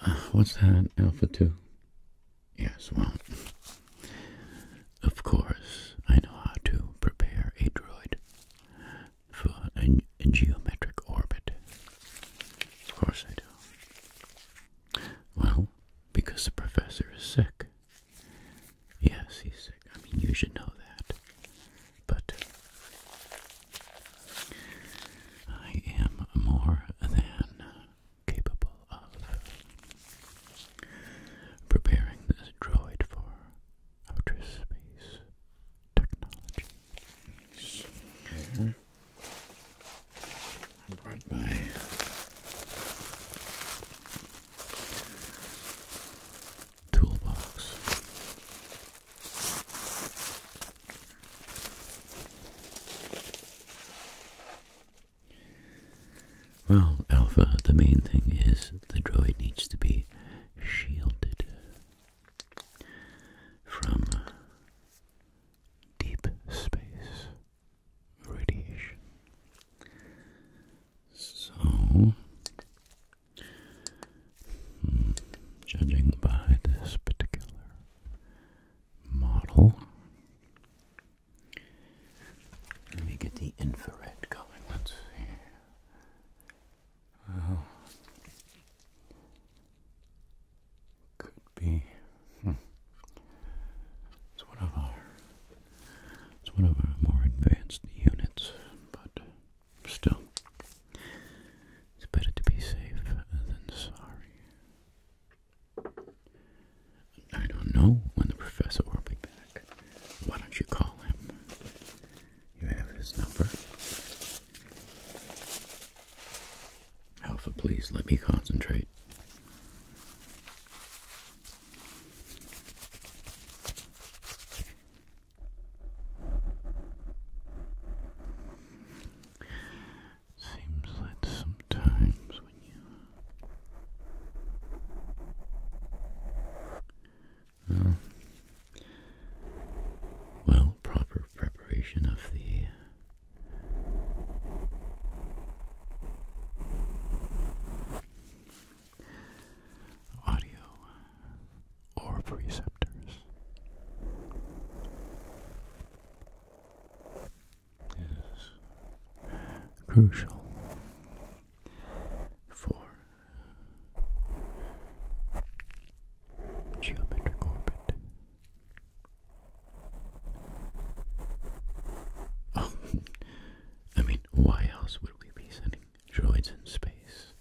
Uh, what's that, Alpha 2? Yes, well, of course, I know how to prepare a droid for a geometric orbit. Of course I do. Well, because the professor is sick. Yes, he's sick. I mean, you should know that but I am more than capable of preparing this droid for outer space technology. Here. brought my toolbox. Well, Alpha, the main thing is the droid needs to be shielded from deep space radiation. So, judging by this particular model, let me get the infrared going. Let's see. could be. Hmm. It's one of our. It's one of our more advanced units, but Still, it's better to be safe than sorry. I don't know when the professor will be back. Why don't you call him? You have his number. Alpha, please let me concentrate. Seems that sometimes when you well, well, proper preparation of the audio orb receptors. Is crucial for geometric orbit. I mean, why else would we be sending droids in space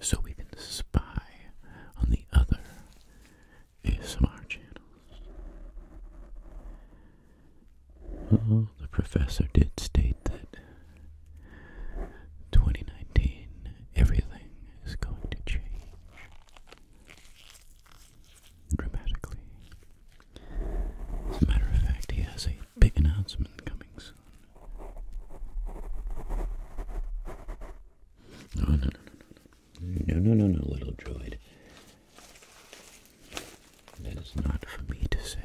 so we can spy on the other ASMR channels. the professor did state that 2019 everything is going to change dramatically. As a matter of fact, he has a big announcement coming no, no, no, no, no, no, no, no, little droid. That is not for me to say.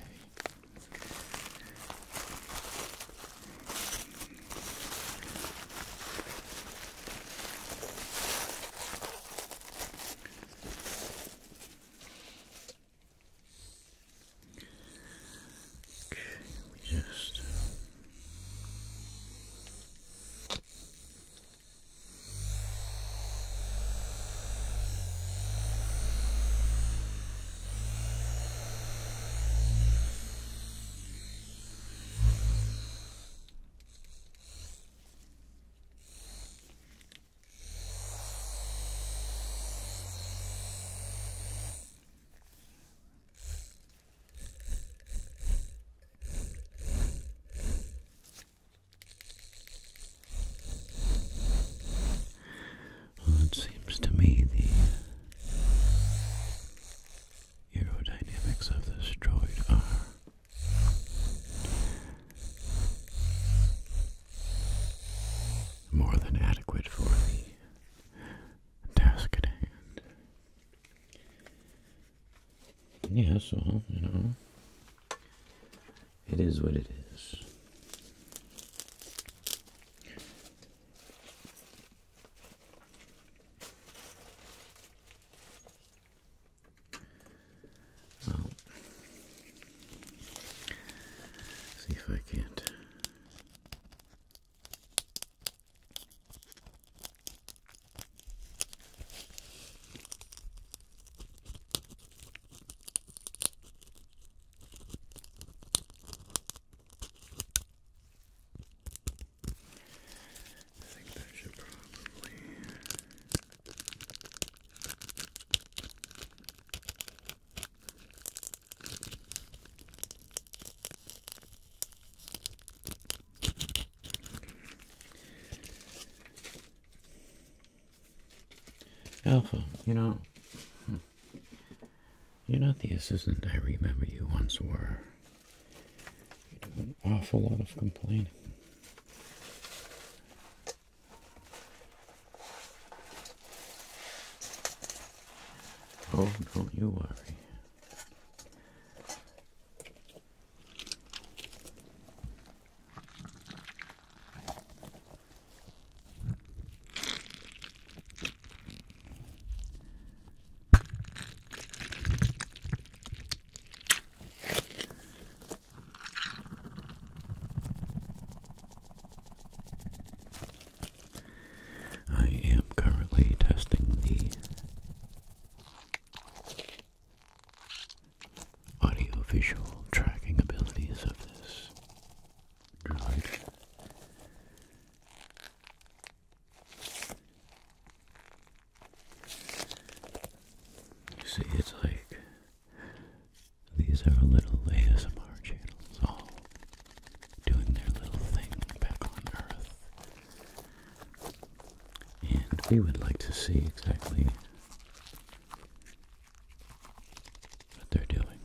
Okay, we just um, well, it seems to me the aerodynamics of this droid are more than adequate for the task at hand. Yeah, so, you know, it is what it is. Well, See if I can't. I think that should probably Alpha, you know, hmm. you're not the assistant I remember you once were. You do an awful lot of complaining. Oh, don't you worry. I am currently testing the audio-visual tracking abilities of this drug. see, it's like these are little ASMR channels, all doing their little thing back on Earth. And we would like to see exactly what they're doing.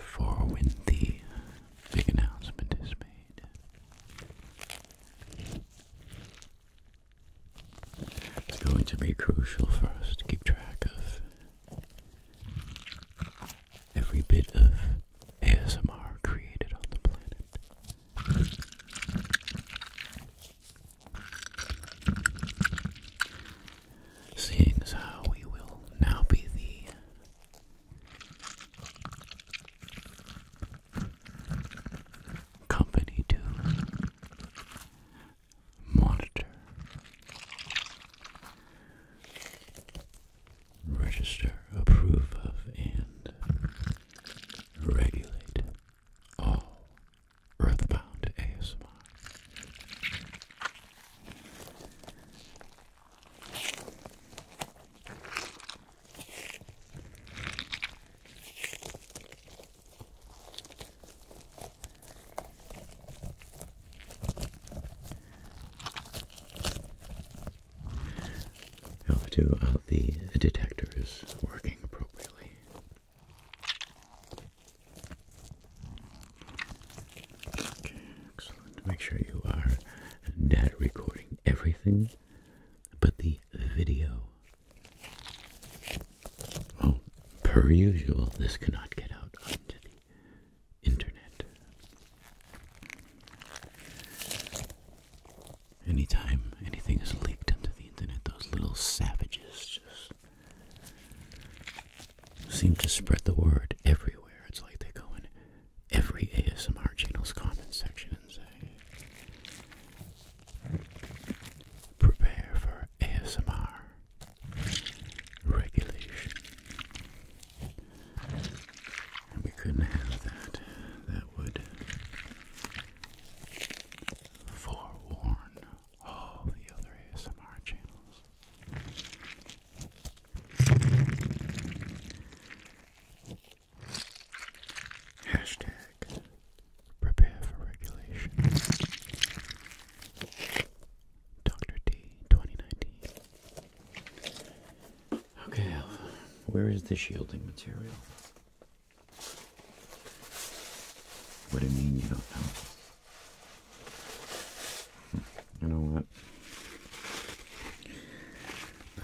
For when the big announcement is made. It's going to be crucial for us to keep track of every bit of ASMR created on the planet. Seeing as how we will now be the company two. monitor, register, approve of, and regulate all earthbound ASMR. Help to uh, the detector working appropriately. Okay, excellent. Make sure you are data recording everything but the video well, per usual, this cannot get out onto the internet. Anytime anything is leaked onto the internet, those little savages just seem to spread the word everywhere. It's like they go in every ASMR channel's comment section and say, Prepare for ASMR regulation. we couldn't have that. That would forewarn all the other ASMR channels. Hashtag prepare for regulation. Dr. D 2019. Okay, where is the shielding material? What do you mean you don't know? Hmm, you know what?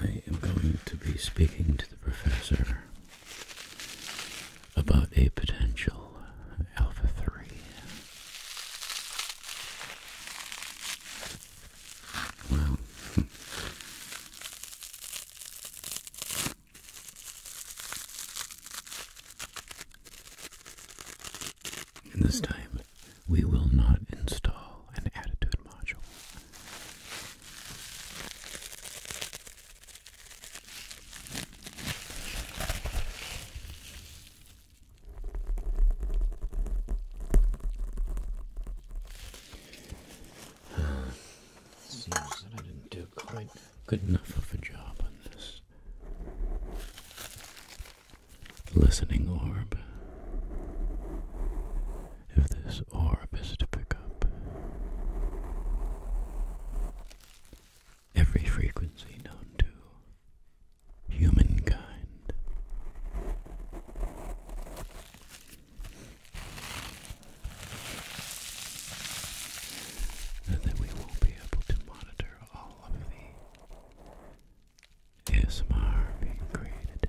I am going to be speaking to the professor about a potential alpha 3. Well, hmm. this time we will not install an attitude module. Seems that I didn't do quite good enough of a job on this listening orb if this orb is to pick up. Every frequency known to humankind. And then we will be able to monitor all of the ASMR being created.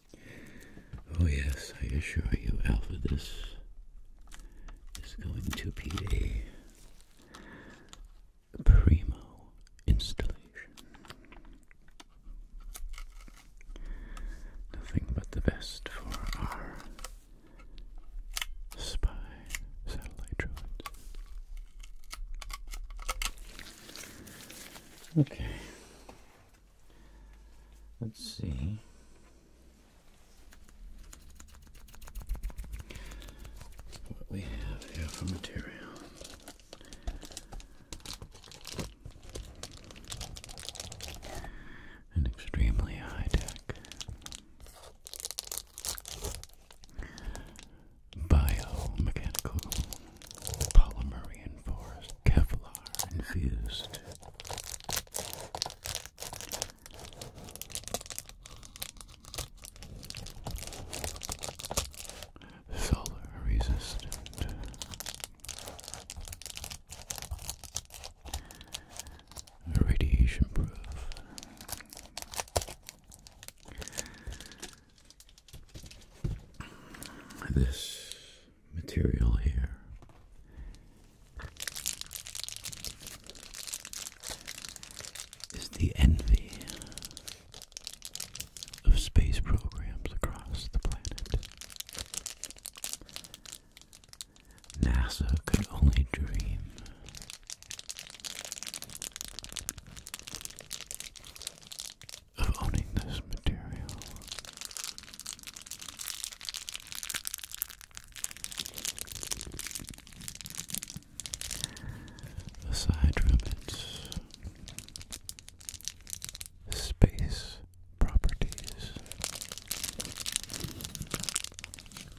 Oh yes, I assure you, Alpha, this is going to be a primo installation. Nothing but the best for our spy satellite droids. Okay. Let's see. What we have here for material. An extremely high tech biomechanical polymer reinforced Kevlar infused. Solar resistant. Radiation proof. This material here. Is the envy of space programs across the planet. NASA could only dream of owning this material. Aside from its space properties,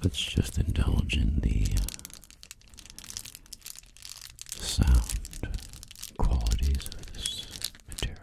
let's just indulge in the sound qualities of this material.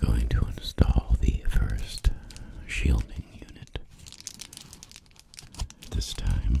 I'm going to install the first shielding unit. This time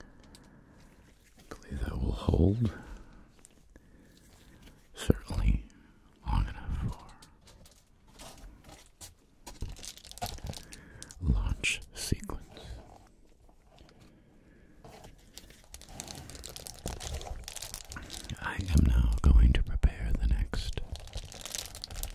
I believe that will hold certainly long enough for launch sequence. I am now going to prepare the next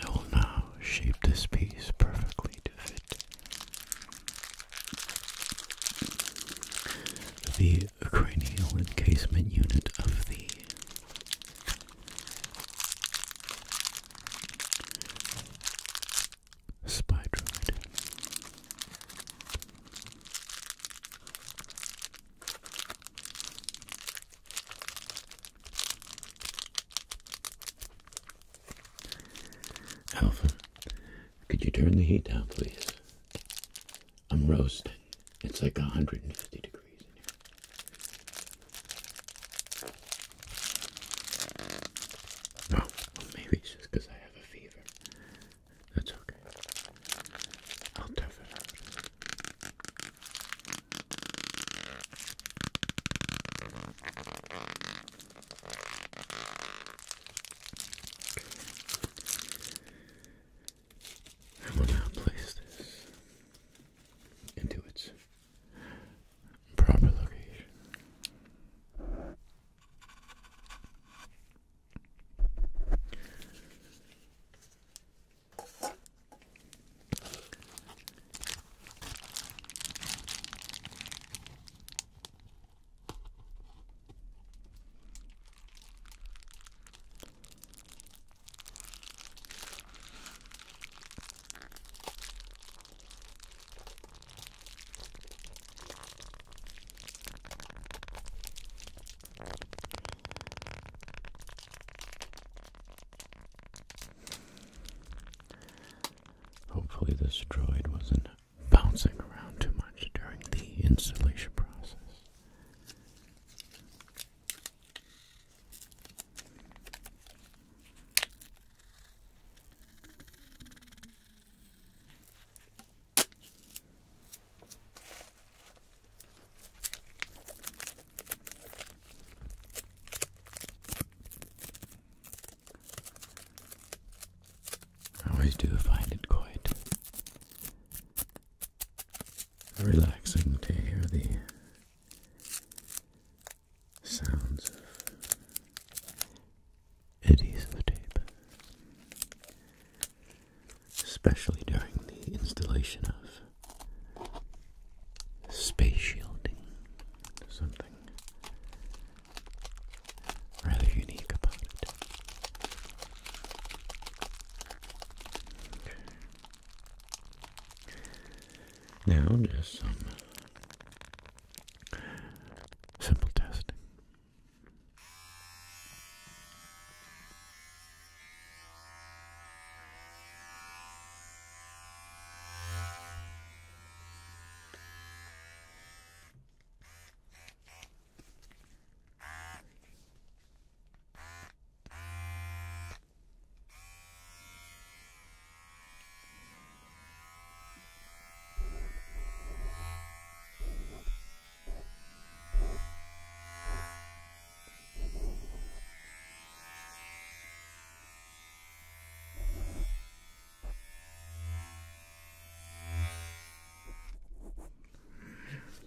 I will now shape this piece perfectly to fit the cranial encasement unit of the Spydroid. Alvin, could you turn the heat down, please? I'm roasting. It's like 150 degrees in here. Oh, maybe it's just I have a fever. That's okay. I'll tough it out. I will now place this into its proper location. Hopefully, this droid wasn't bouncing around too much during the installation process. I always do find it quite relaxing to hear the sounds of eddies in the tape, especially during the installation of space shielding, something rather unique about it. Now, just some Simple testing.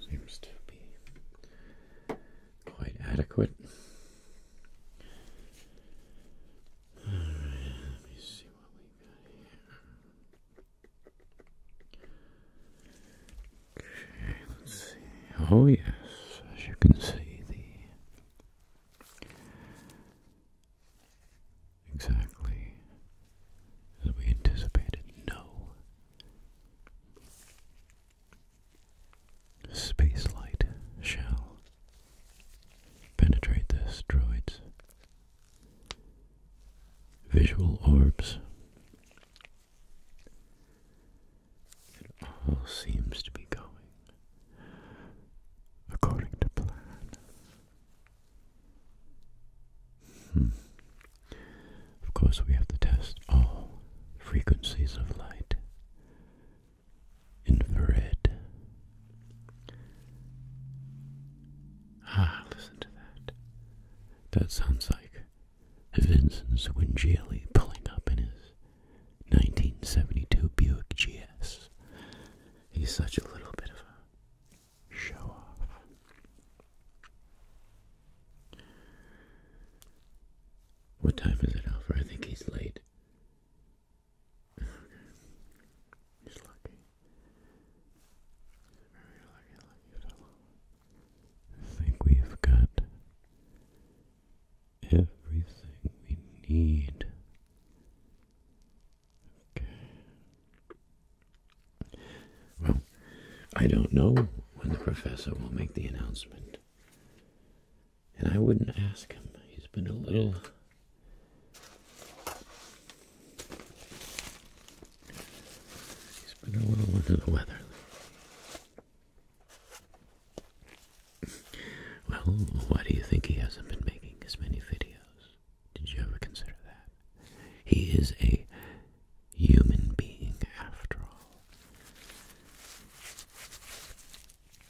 Seems to be quite adequate let me see what we got here. Okay, let's see. Oh yes, as you can see the exactly as we anticipated, no space light shell penetrate the asteroids. Visual orbs. It all seems to be going according to plan. Hmm. Of course, we have to test all frequencies of light infrared. Ah, listen to that. That sounds like Vincent Swingielli pulling up in his 1972 Buick GS. He's such a little bit of a show off. What time is it, Alfred? I think he's late. He's lucky. very lucky, lucky fellow. I think we've got everything we need. Okay. Well, I don't know when the professor will make the announcement. And I wouldn't ask him. He's been a little he's been a little under the weather. Well, why do you think he hasn't been making as many videos? Did you ever consider that? He is a human being after all.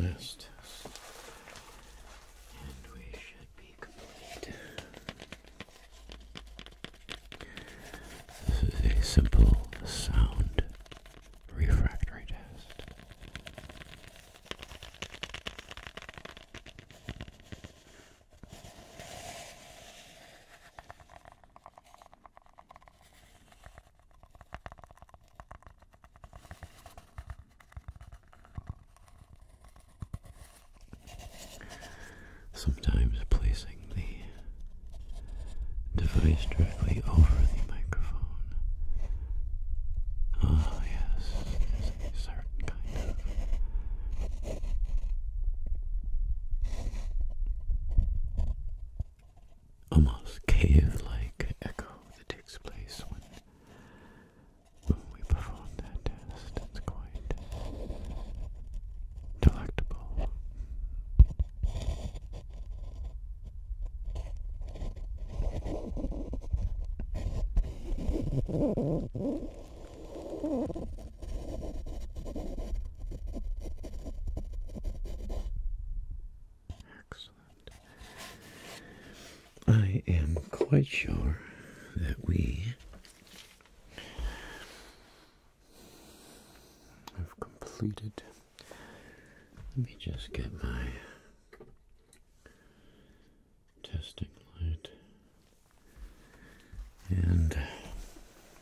last And we should be complete. This is a simple sound refractory test. Sometimes placing the device directly over the microphone. Ah, yes, there's a certain kind of almost cave-like echo that takes place when, when we perform that test. It's quite delectable. Excellent. I am quite sure that we have completed. Let me just get my testing light and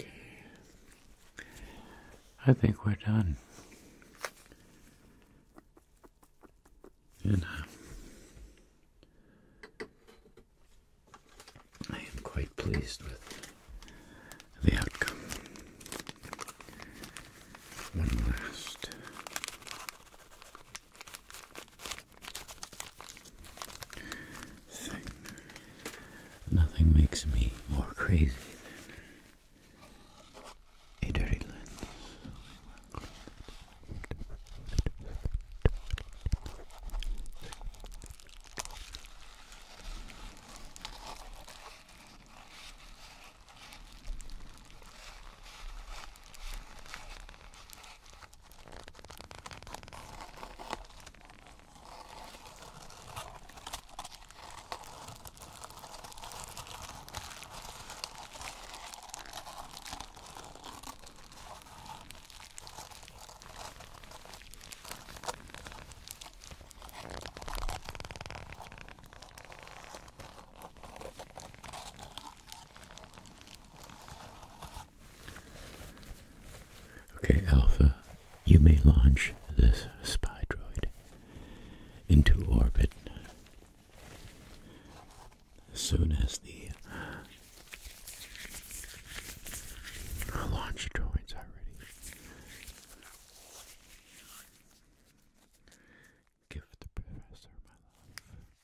Okay. I think we're done. And uh, I am quite pleased with the outcome. One last. Nothing makes me more crazy than a dirty lens. Okay, Alpha, you may launch this spy droid into orbit as soon as the launch droids are ready. Give the professor my love.